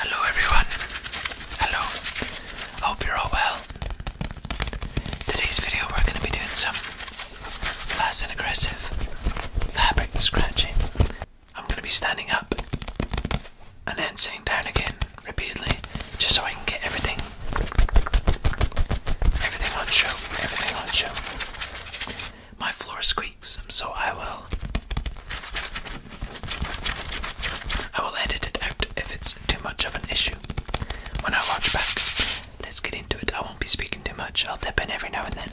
Hello everyone. Hello. Hope you're all well. Today's video we're going to be doing some fast and aggressive fabric scratching. I'm going to be standing up and then sitting down again repeatedly just so I can get everything everything on show, everything on show my floor squeaks, so I will I will edit it out if it's too much of an issue. When I watch back, let's get into it. I won't be speaking too much. I'll dip in every now and then.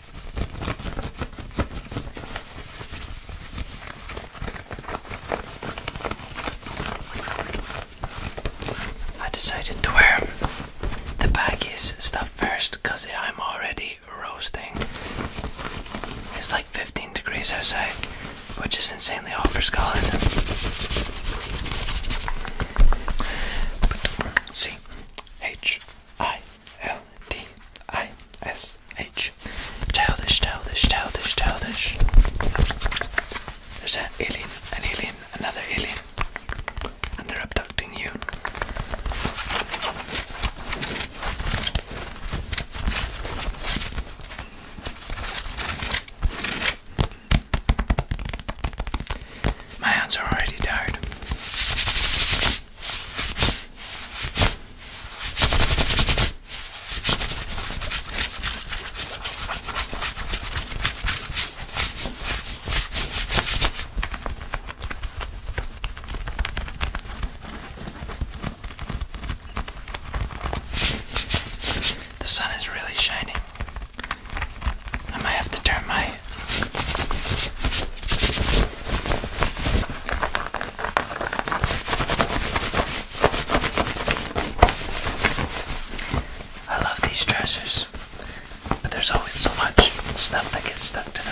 I decided to wear the baggies stuff first because I'm already roasting. It's like 15 degrees outside, which is insanely hot for Scotland. see, H I L D I S H. Childish, childish, childish, childish. There's an alien, an alien, another alien, and they're abducting you. My hands are already tired. The sun is really shining. I might have to turn my I love these dresses, but there's always so much stuff that gets stuck to them.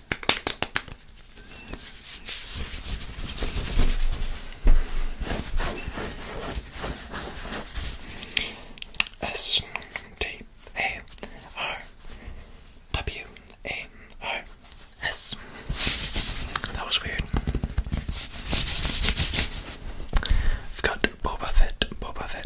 S T A R W A R S. That was weird. I've got Boba Fett, Boba Fett.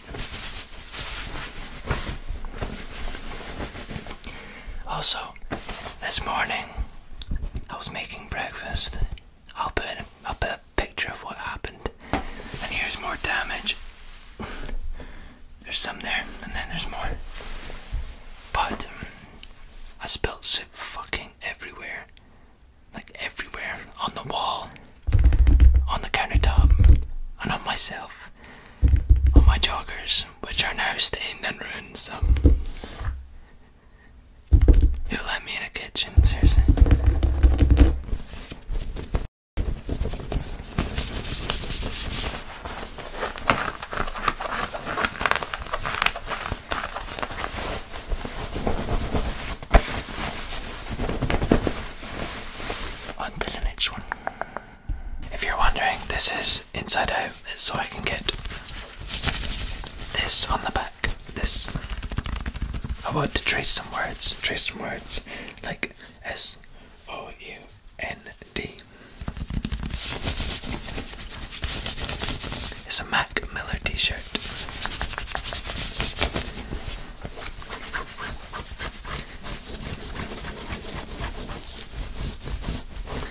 Also, this morning I was making breakfast. I'll put a picture of what happened. And here's more damage. there's some there, and then there's more. But um, I spilled soup fucking everywhere, like everywhere on the wall, on the countertop, and on myself, on my joggers, which are now stained and ruined. Some. who let me in a kitchen? Seriously on to the one. If you're wondering, this is inside out, so I can get this on the back. This. I want to trace some words, trace some words like S O U N D. It's a Mac Miller t shirt.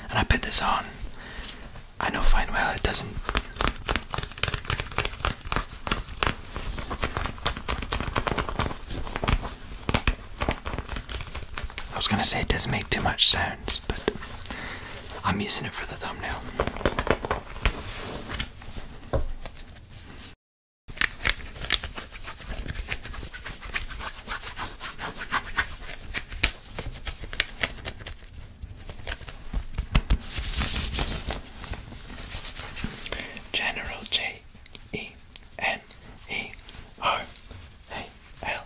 And I put this on. I know fine well it doesn't. I was gonna say it doesn't make too much sounds, but I'm using it for the thumbnail. General J E N E R A L.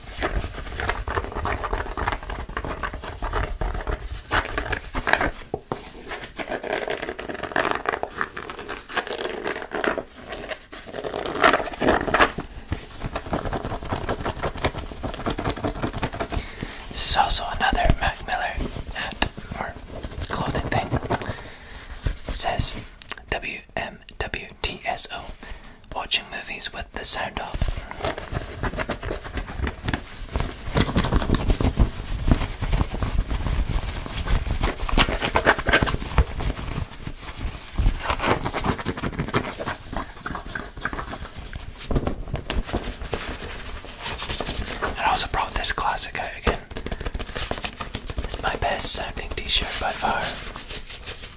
This is also another Mac Miller hat or clothing thing. It says WM a.m. WTSO, watching movies with the sound off. I also brought this classic out again. It's my best sounding t-shirt by far.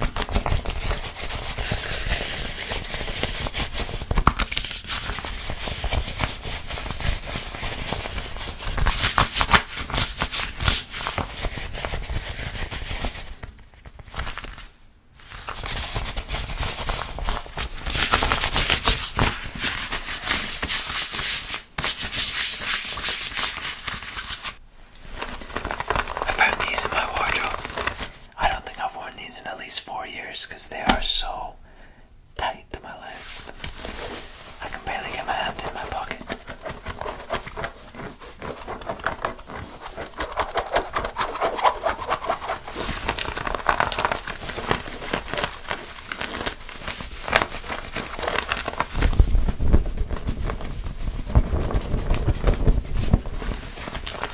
I found these in my wardrobe. I don't think I've worn these in at least four years because they are so tight to my legs. I can barely get my hand in my pocket.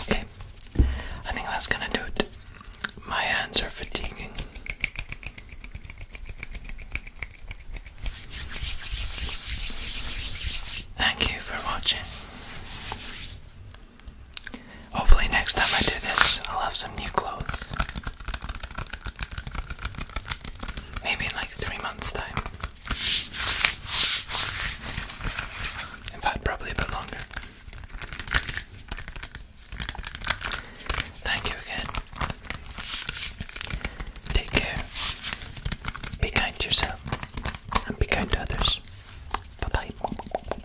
Okay, I think that's gonna do it. My hands are fatiguing. Thank you for watching. Hopefully, next time I do this, I'll have some new clothes maybe in like three months' time. In fact, probably a bit longer. Thank you again. Take care. Be kind to yourself and be kind to others. Bye bye.